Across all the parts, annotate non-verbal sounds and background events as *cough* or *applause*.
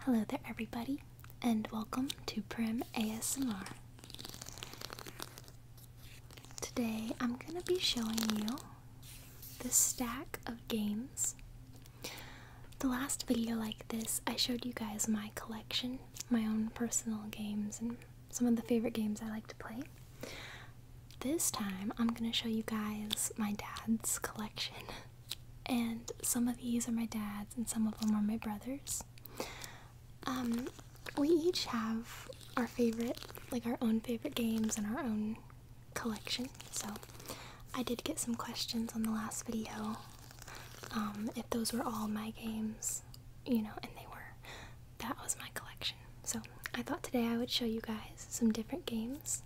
Hello there, everybody, and welcome to Prim ASMR. Today I'm going to be showing you the stack of games. The last video like this, I showed you guys my collection, my own personal games, and some of the favorite games I like to play. This time I'm gonna show you guys my dad's collection. And some of these are my dad's and some of them are my brother's. Um, we each have our favorite, like our own favorite games and our own collection. So I did get some questions on the last video um, if those were all my games, you know, and they were. That was my collection. So, I thought today I would show you guys some different games.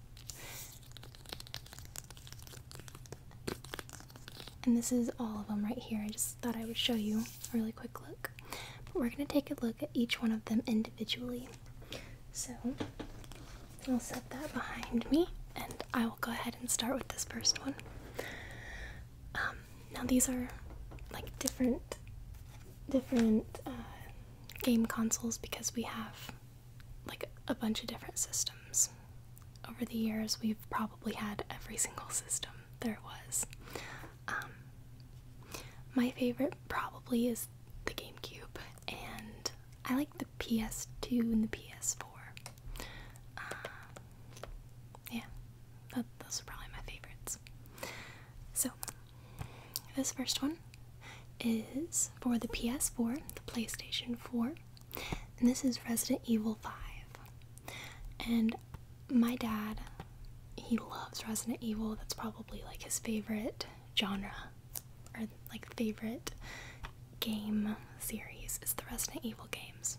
And this is all of them right here. I just thought I would show you a really quick look. But we're going to take a look at each one of them individually. So, I'll set that behind me and I will go ahead and start with this first one. Um, now these are like different different uh, game consoles because we have like a bunch of different systems. Over the years, we've probably had every single system there was. Um, my favorite probably is the GameCube, and I like the PS2 and the PS4. Um, yeah, those are probably my favorites. So, this first one is for the PS4, the PlayStation 4, and this is Resident Evil 5. And my dad, he loves Resident Evil. That's probably like his favorite genre or like favorite game series is the Resident Evil games.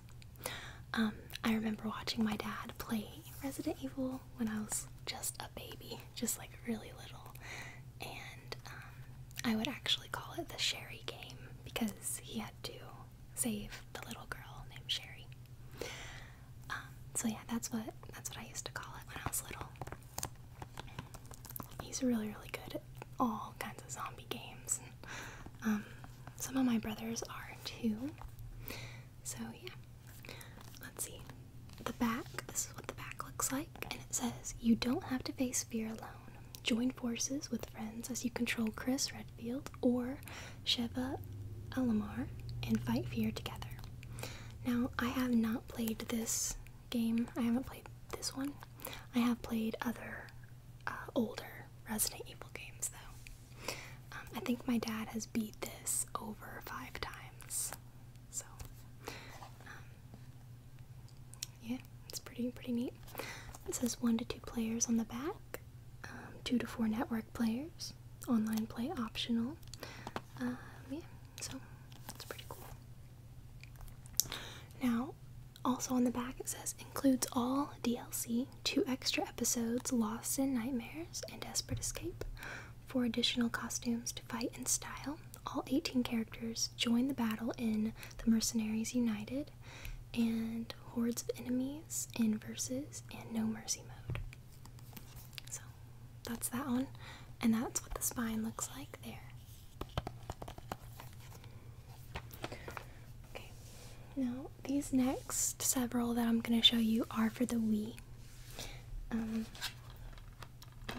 Um, I remember watching my dad play Resident Evil when I was just a baby, just like really little, and um, I would actually call it the Sherry game because he had to save the little girl named Sherry. Um, so yeah, that's what that's what I used to call it when I was little. He's really really good at all kinds of zombie games. Um, some of my brothers are too. So yeah. Let's see. The back, this is what the back looks like, and it says, You don't have to face fear alone. Join forces with friends as you control Chris Redfield or Sheva Alamar and fight fear together. Now, I have not played this game, I haven't played this one. I have played other uh, older Resident Evil games though. Um, I think my dad has beat this over five times. So, um, yeah, it's pretty pretty neat. It says one to two players on the back, um, two to four network players, online play optional. Um, yeah, so it's pretty cool. Now, also on the back it says includes all DLC, two extra episodes, Lost in Nightmares and Desperate Escape, for additional costumes to fight in style. All 18 characters join the battle in The Mercenaries United and Hordes of Enemies in Versus and No Mercy mode. So that's that one, and that's what the spine looks like there. Okay, now these next several that I'm going to show you are for the Wii. Um,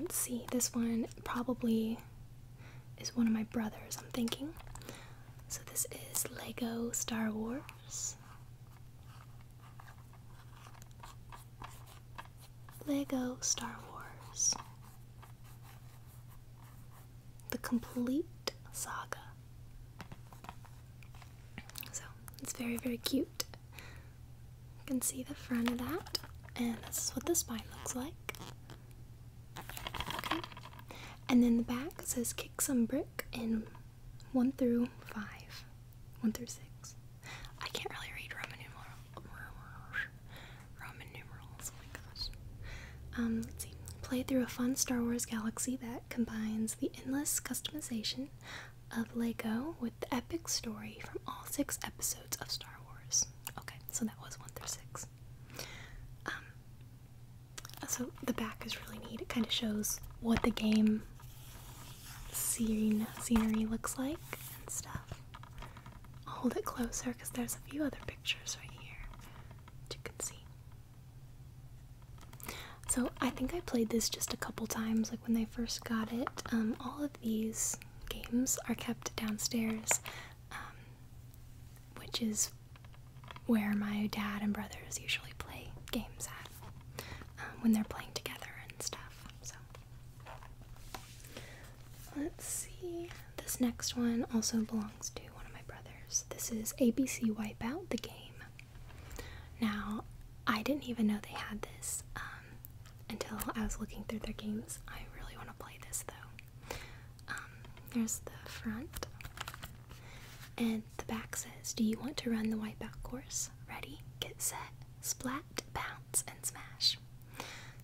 let's see, this one probably is one of my brothers, I'm thinking. So this is Lego Star Wars. Lego Star Wars. The complete saga. So it's very, very cute. You can see the front of that, and this is what the spine looks like. Okay. And then the back says kick some brick in 1 through 5. 1 through 6. I can't really read Roman, numeral, Roman numerals. Oh my gosh. Um, let's see. Play through a fun Star Wars galaxy that combines the endless customization of Lego with the epic story from all six episodes of Star Wars. Okay, so that was one through six. Um, so the back is really neat. It kind of shows what the game scene scenery looks like and stuff. hold it closer because there's a few other pictures right here that you can see. So I think I played this just a couple times, like when they first got it. Um, all of these games are kept downstairs, um, which is where my dad and brothers usually play games at um, when they're playing together and stuff. So let's see. This next one also belongs to one of my brothers. This is ABC Wipeout, the game. Now, I didn't even know they had this um, until I was looking through their games. I really want to play this though. Um, there's the front, and the back says, Do you want to run the wipeout course? Ready, get set, splat, bounce, and smash.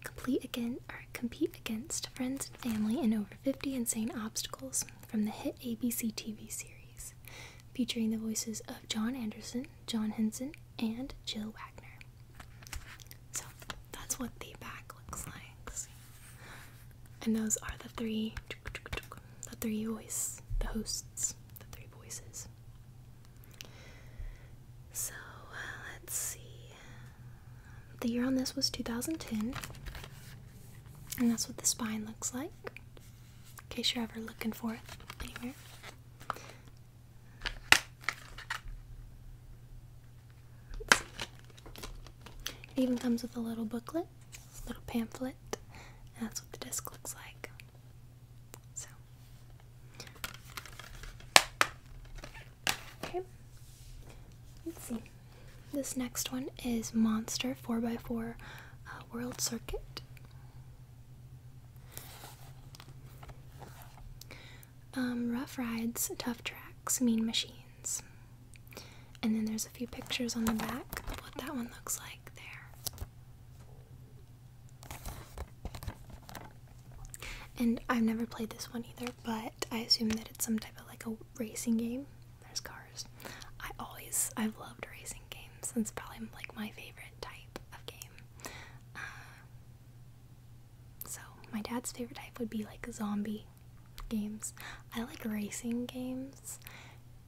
Complete again or compete against friends and family in over 50 insane obstacles from the hit ABC TV series featuring the voices of John Anderson, John Henson, and Jill Wagner. So that's what the back looks like. And those are the three, the three voice, the hosts, the three voices. So let's see. The year on this was 2010, and that's what the spine looks like in case you're ever looking for it anywhere. It even comes with a little booklet, little pamphlet, and that's what the disc looks like. So, okay, let's see. This next one is Monster 4x4 uh, World Circuit. Um, rough rides, tough tracks, mean machines. And then there's a few pictures on the back of what that one looks like there. And I've never played this one either, but I assume that it's some type of like a racing game. There's cars. I always, I've loved racing games. It's probably like my favorite type of game. Uh, so my dad's favorite type would be like zombie games. I like racing games.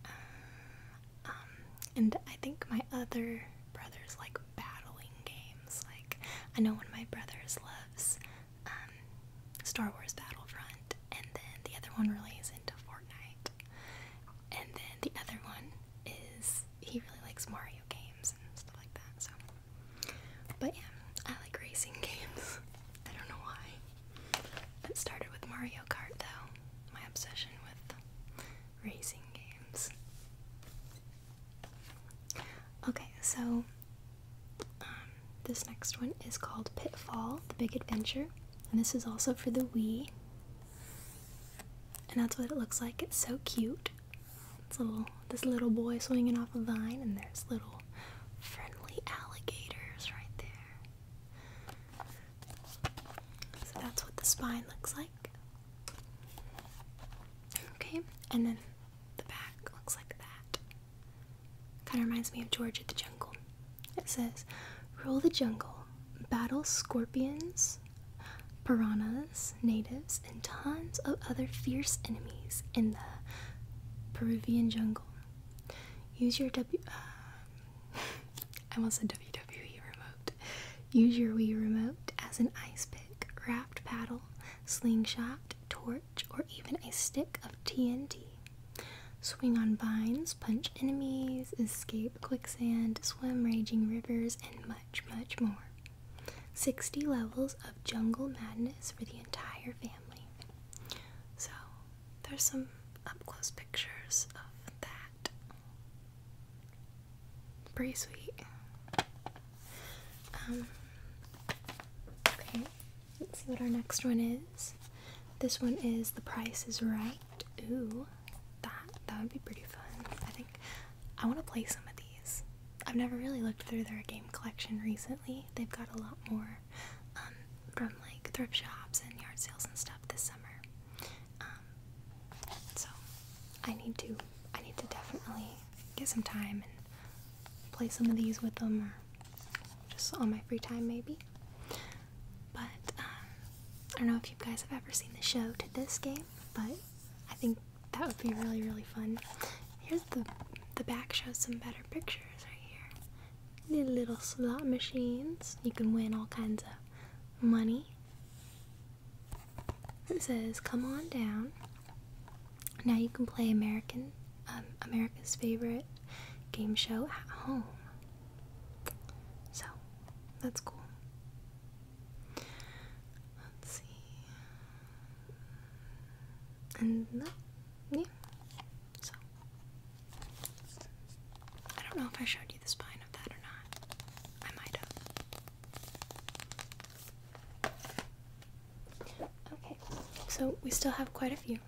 Uh, um, and I think my other brothers like battling games. Like I know one of my brothers loves um, Star Wars Battlefront, and then the other one really is into Fortnite. And then the other one is he really likes Mario games and stuff like that. So, but yeah, I like racing *laughs* games. I don't know why. It started with Mario Kart though. My obsession with racing games. Okay, so um, this next one is called Pitfall: The Big Adventure, and this is also for the Wii. And that's what it looks like. It's so cute. It's little this little boy swinging off a vine, and there's little friendly alligators right there. So that's what the spine looks like. Okay, and then the back looks like that. Kind of reminds me of George at the Jungle. It says, rule the jungle, battle scorpions, piranhas, natives, and tons of other fierce enemies in the Peruvian jungle. Use your w—I'm um, also *laughs* almost WWE remote. Use your Wii remote as an ice pick, raft paddle, slingshot, torch, or even a stick of TNT. Swing on vines, punch enemies, escape quicksand, swim raging rivers, and much, much more. 60 levels of jungle madness for the entire family. So, there's some up close pictures of that. Pretty sweet. Um, okay, let's see what our next one is. This one is The Price is Right that. Ooh, that that would be pretty fun. I think I want to play some of these. I've never really looked through their game collection recently. They've got a lot more um, from like thrift shops and yard sales and stuff this summer. Um, so I need to I need to definitely get some time and play some of these with them, or just on my free time maybe. But um, I don't know if you guys have ever seen the show to this game, but I think that would be really really fun. Here's the the back shows some better pictures right here. little slot machines. You can win all kinds of money. It says, "Come on down." Now you can play American, um, America's favorite game show at home. So, that's cool. Let's see. And that, yeah. So, I don't know if I showed you the spine of that or not. I might have. Okay, so we still have quite a few.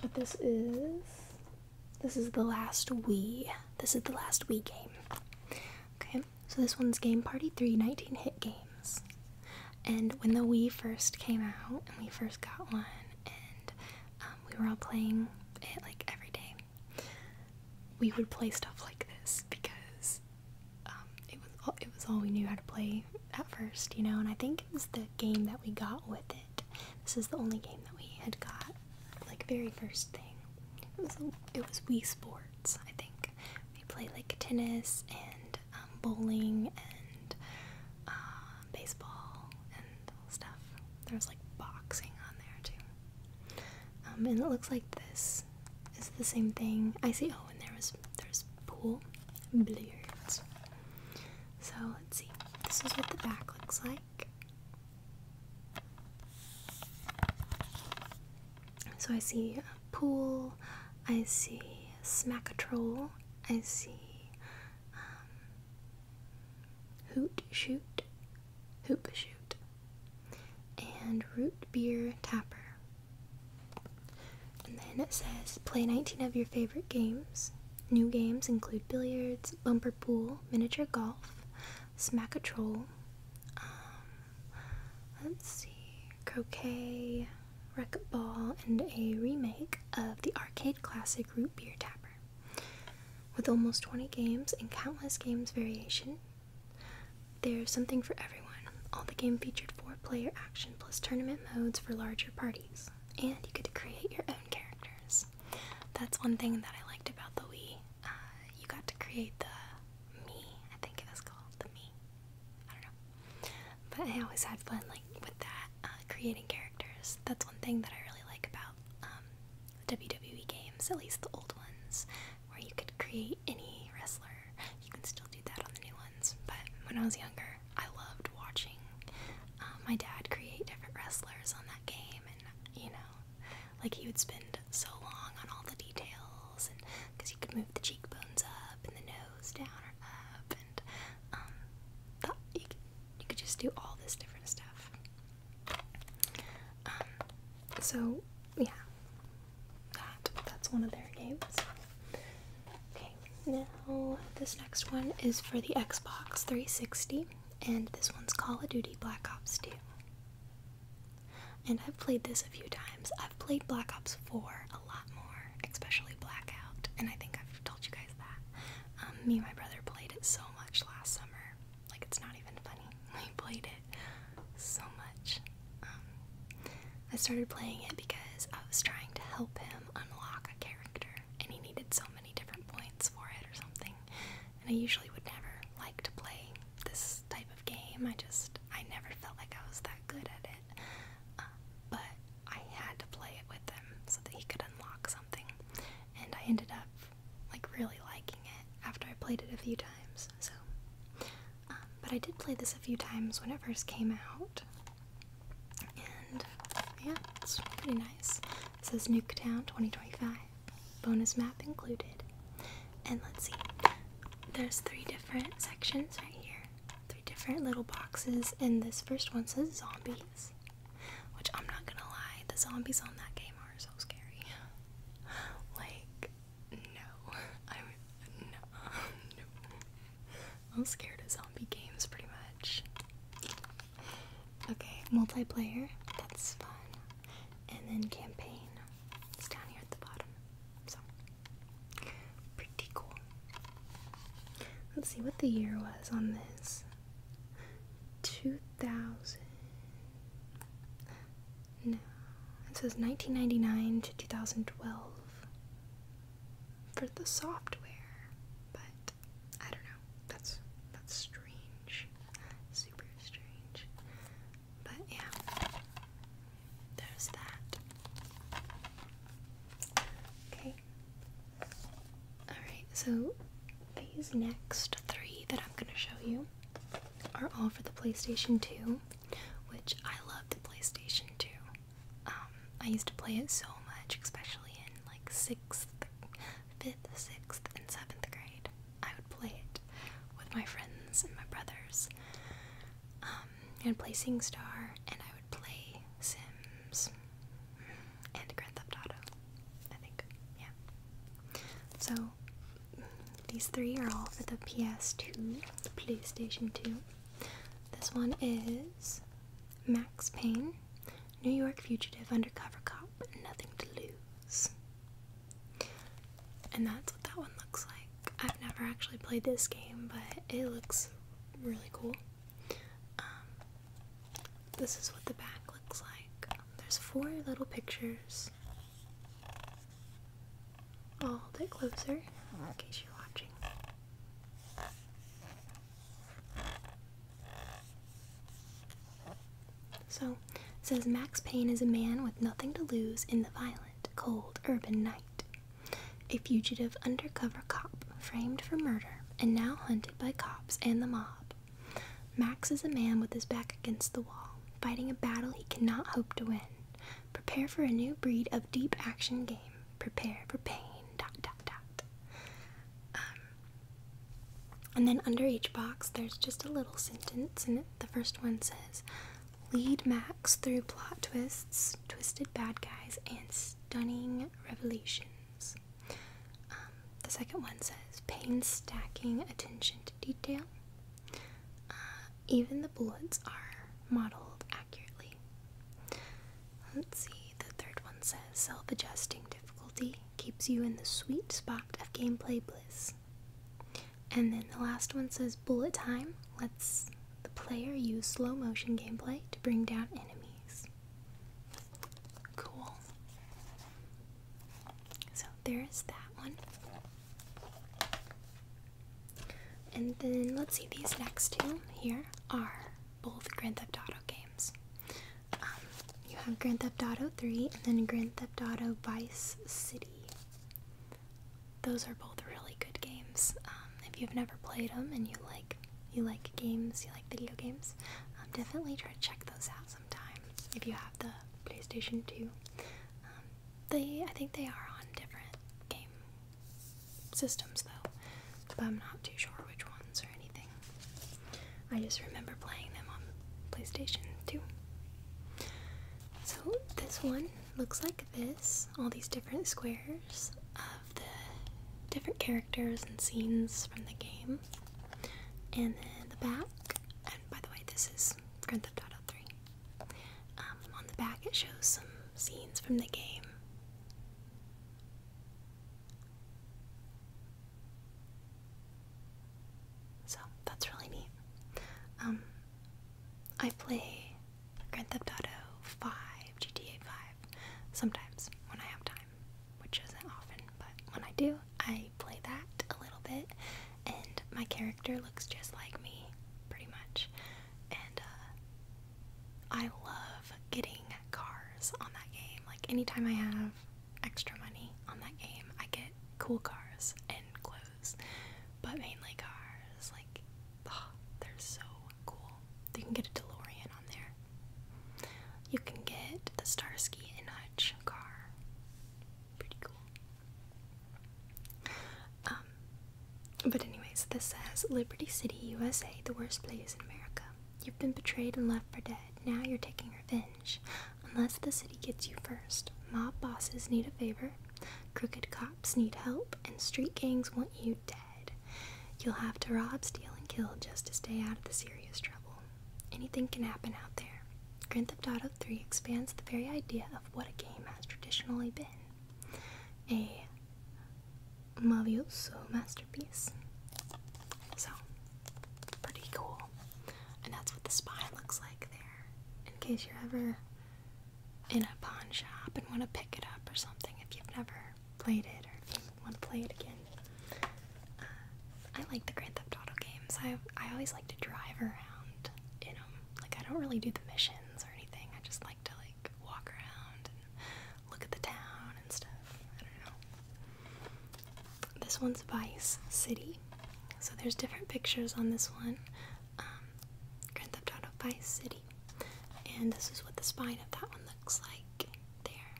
But this is this is the last Wii. This is the last Wii game. Okay, so this one's Game Party Three, nineteen hit games. And when the Wii first came out and we first got one and um, we were all playing it like every day, we would play stuff like this because um, it was it was all we knew how to play at first, you know. And I think it was the game that we got with it. This is the only game that we had got, like very first thing. It was it was Wii Sports, I think. We play like tennis and um, bowling and uh, baseball and stuff. There was like boxing on there too. Um, and it looks like this is the same thing. I see. Oh, and there was there's pool, billiards. So let's see. This is what the back looks like. So I see pool, I see smack a troll, I see um, hoot shoot, hoop shoot, and root beer tapper. And then it says play 19 of your favorite games. New games include billiards, bumper pool, miniature golf, smack a troll. Um, let's see, croquet, wreck a ball, and a remake of the arcade classic Root Beer Tapper. With almost 20 games and countless games variation, there's something for everyone. All the game featured four player action plus tournament modes for larger parties and you could create your own characters. That's one thing that I liked about the Wii. Uh, you got to create the me, I think it was called the me. I don't know, but I always had fun like with that uh, creating characters. That's one thing that I really like about um, WWE games, at least the old ones, where you could create any wrestler, you can still do that on the new ones, but when I was younger, I loved watching um, my dad create different wrestlers on that game, and you know, like he would spend so long on all the details, and because he could move the cheekbones up and the nose down or up, and um, the, you, could, you could just do all this different stuff. Um, so yeah, that that's one of their games. Okay, now this next one is for the Xbox 360, and this one's Call of Duty Black Ops 2. And I've played this a few times. I've played Black Ops 4 a lot more, especially Blackout, and I think I've told you guys that. Um, me and my brother played it so much last summer. Like, it's not even funny. *laughs* We played it so much. Um, I started playing it because I was trying to help him unlock a character, and he needed so many different points for it or something. And I usually would never like to play this type of game. I just, I never felt like I was that good at it. Uh, but I had to play it with him so that he could unlock something. And I ended up like really liking it after I played it a few times. So, um, but I did play this a few times when it first came out. And yeah, it's pretty nice. says Nuketown 2025, bonus map included. And let's see, there's three different sections right here, three different little boxes. And this first one says zombies, which I'm not gonna lie, the zombies on that game are so scary. Like, no, *laughs* I no, *laughs* no. I'm scared of zombie games pretty much. Okay, multiplayer, that's fun. And then campaign, it's down here at the bottom. So, pretty cool. Let's see what the year was on this. 2000. No, it says 1999 to 2012 for the software, but I don't know. That's that's strange. Super strange. But yeah. There's that. Okay. Alright, so these next three that I'm gonna show you are all for the PlayStation 2, which I love the PlayStation 2. Um, I used to play it so much, especially in like sixth, fifth, sixth, and seventh grade. I would play it with my friends and my brothers. Um, and playing would play and I would play Sims and Grand Theft Auto. I think, yeah. So these three are all for the PS2, PlayStation 2. This one is Max Payne, New York fugitive undercover cop, nothing to lose. And that's what that one looks like. I've never actually played this game, but it looks really cool. Um, this is what the back looks like. There's four little pictures. I'll hold closer in case you're watching. So, says Max Payne is a man with nothing to lose in the violent, cold, urban night. A fugitive undercover cop framed for murder and now hunted by cops and the mob. Max is a man with his back against the wall, fighting a battle he cannot hope to win. Prepare for a new breed of deep action game prepare for pain, dot, dot, dot. Um, and then under each box, there's just a little sentence, and the first one says, Lead Max through plot twists, twisted bad guys, and stunning revelations. Um, the second one says, Painstaking attention to detail. Uh, even the bullets are modeled accurately. Let's see, the third one says self adjusting difficulty keeps you in the sweet spot of gameplay bliss. And then the last one says bullet time lets the player use slow motion gameplay to bring down enemies. Cool. So there is that one. And then let's see, these next two here are both Grand Theft Auto games. Um, you have Grand Theft Auto 3 and then Grand Theft Auto Vice City. Those are both really good games. Um, if you've never played them and you like you like games, you like video games, um, definitely try to check those out sometime. If you have the PlayStation 2, they I think they are on different game systems though, but I'm not too sure which ones or anything. I just remember playing them on PlayStation 2. So this one looks like this, all these different squares of the different characters and scenes from the game. And then the back, and by the way, this is Grand Theft Auto um, on the back, it shows some scenes from the game. So that's really neat. Um, I play Grand Theft Auto 5, GTA 5, sometimes when I have time, which isn't often, but when I do, I play that a little bit, and my character looks just like me, pretty much. And uh, I love getting cars on that game. Like, anytime I have extra money on that game, I get cool cars and clothes, but mainly cars. Like, ah, they're so cool. You can get a DeLorean on there, you can get the Starsky and Hutch car. Pretty cool. Um, but, anyways, this says Liberty City, USA, the worst place in America. You've been betrayed and left for dead. Now you're taking revenge. Unless the city gets you first. Mob bosses need a favor, crooked cops need help, and street gangs want you dead. You'll have to rob, steal, and kill just to stay out of the serious trouble. Anything can happen out there. Grand Theft Auto 3 expands the very idea of what a game has traditionally been a Mavioso masterpiece. So, pretty cool. And that's what the spine looks like there. In case you're ever in a pawn shop and want to pick it up or something, if you've never played it or want to play it again. Uh, I like the Grand Theft Auto games. I, I always like to drive around in them. Like, I don't really do the missions or anything, I just like to like walk around and look at the town and stuff. I don't know. This one's Vice City. So there's different pictures on this one. Um, Grand Theft Auto Vice City. And this is what the spine of that one looks like there.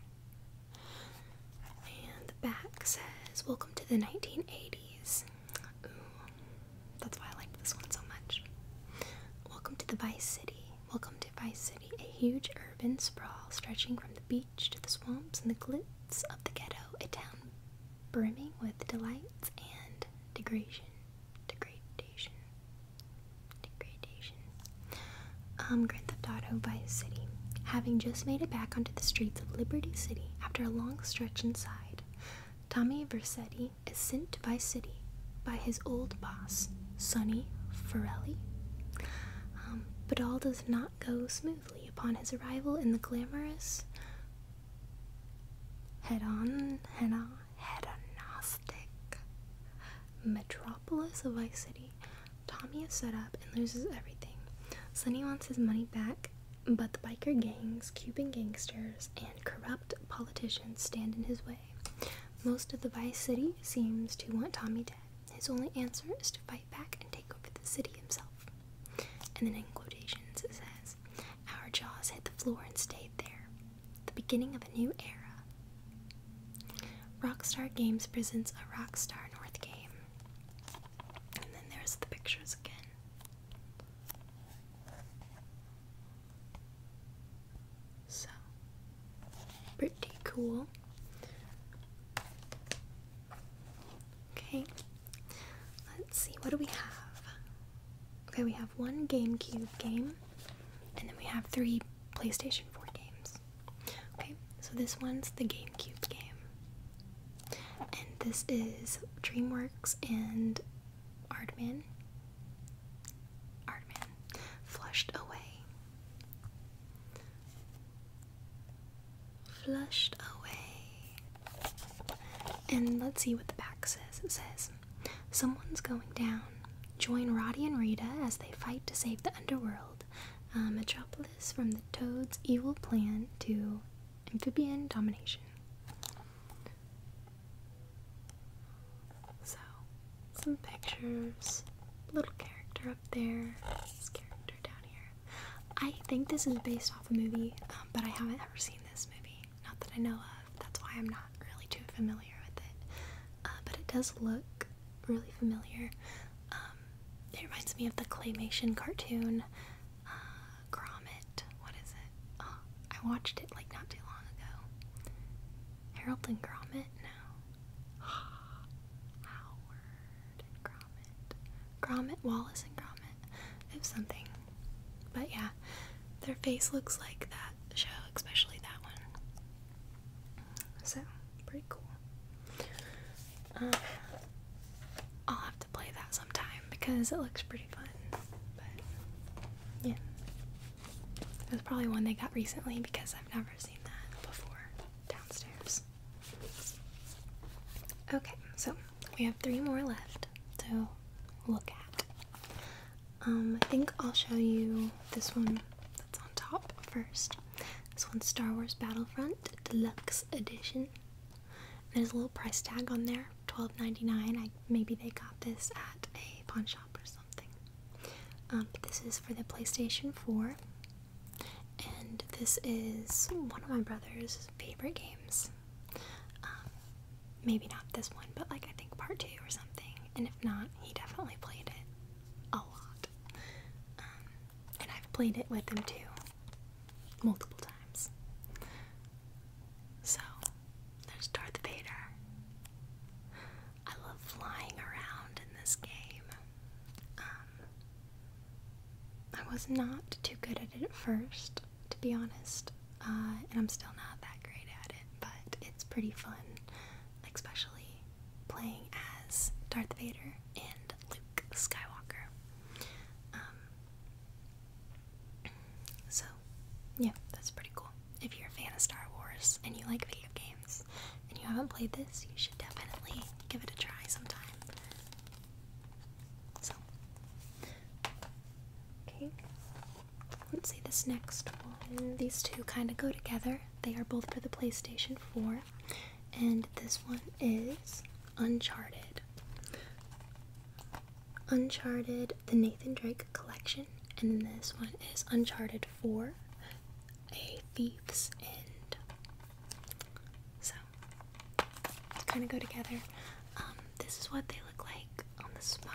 And the back says, Welcome to the 1980s that's why I like this one so much. Welcome to the Vice City. Welcome to Vice City, a huge urban sprawl stretching from the beach to the swamps and the glitz of the ghetto, a town brimming with delights and degradation. Degradation. Degradation. Um, Grand Theft Auto Vice City. Having just made it back onto the streets of Liberty City after a long stretch inside, Tommy Versetti is sent by City by his old boss, Sonny Ferelli. Um, but all does not go smoothly upon his arrival in the glamorous head on, head on, hedonistic metropolis of Vice City. Tommy is set up and loses everything. Sonny wants his money back but the biker gangs, Cuban gangsters, and corrupt politicians stand in his way. Most of the Vice City seems to want Tommy dead. His only answer is to fight back and take over the city himself. And then in quotations it says, Our jaws hit the floor and stayed there. The beginning of a new era. Rockstar Games presents a Rockstar North game. And then there's the pictures again. So, pretty cool. Okay, let's see, what do we have? Okay, we have one GameCube game, and then we have three PlayStation 4 games. Okay, so this one's the GameCube game. And this is DreamWorks and Ardman. Ardman. Flushed away. Flushed away. And let's see what the back says. It says, Someone's going down. Join Roddy and Rita as they fight to save the underworld. Uh, Metropolis from the Toad's evil plan to amphibian domination. So, some pictures, little character up there, character down here. I think this is based off a movie, um, but I haven't ever seen this movie. Not that I know of. That's why I'm not really too familiar with it. Uh, but it does look really familiar. Um, it reminds me of the claymation cartoon Gromit. What is it? Oh, I watched it like not too long ago. Harold and Gromit? No. *gasps* Howard and Gromit. Gromit, Wallace and Gromit. It was something. But yeah, their face looks like that show, especially that one. So, pretty cool. Uh, I'll have to play that sometime because it looks pretty fun. But yeah, that's probably one they got recently because I've never seen that before downstairs. Okay, so we have three more left to look at. Um, I think I'll show you this one that's on top first. This one's Star Wars Battlefront Deluxe Edition. There's a little price tag on there. Twelve ninety nine. I maybe they got this at a pawn shop or something. Um, this is for the PlayStation 4, and this is one of my brother's favorite games. Um, maybe not this one, but like I think part two or something. And if not, he definitely played it a lot. Um, and I've played it with him too multiple times. So, there's Darth Vader. I love flying around in this game. Um, I was not too good at it at first, to be honest, uh, and I'm still not that great at it, but it's pretty fun, especially playing as Darth Vader and Luke Skywalker. Um, so, yeah, that's pretty cool. If you're a fan of Star Wars and you like video games and you haven't played this, you should definitely give it a try sometime. So, okay, let's see this next one. These two kind of go together, they are both for the PlayStation 4, and this one is Uncharted. Uncharted, the Nathan Drake collection, and this one is Uncharted 4, A Thief's End. So, kind of go together. Um, this is what they look like on the spine.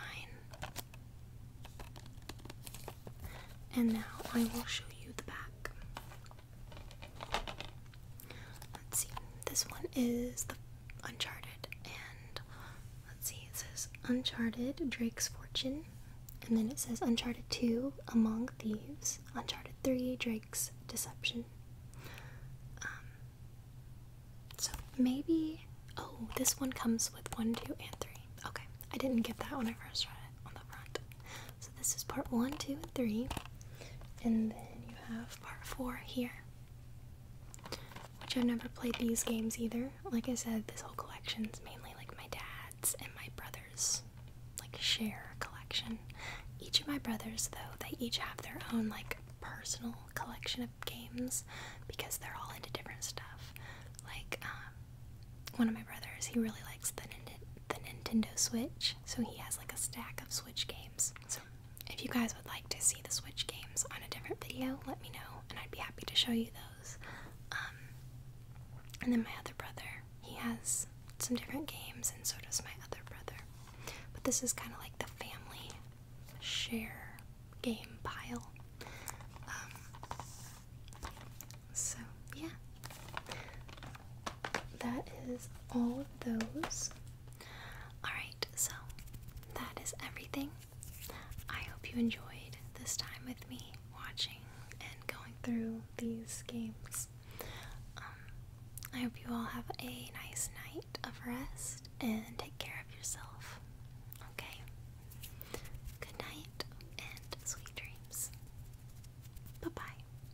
And now I will show you the back. Let's see, this one is the Uncharted, and let's see, it says Uncharted Drake's Fortune, and then it says Uncharted 2 Among Thieves, Uncharted 3 Drake's Deception. Um, so maybe, oh, this one comes with 1, 2, and 3. Okay, I didn't get that when I first read it on the front. So this is part 1, 2, and 3, and then you have part 4 here. Which I've never played these games either. Like I said, this whole collection is mainly like my dad's and my brother's like share collection. Each of my brothers though, they each have their own like personal collection of games because they're all into different stuff. Like um, one of my brothers, he really likes the, the Nintendo Switch, so he has like a stack of Switch games. So if you guys would like to see the Switch games on a different video, let me know, and I'd be happy to show you those. Um, and then my other brother, he has some different games, and so does my other brother. But this is kind of like the family share game pile. Um, so, yeah. That is all of those. Alright, so that is everything. I hope you enjoyed this time with me watching and going through these games. Um, I hope you all have a nice night of rest and take care of yourself. Okay? Good night and sweet dreams. Bye bye.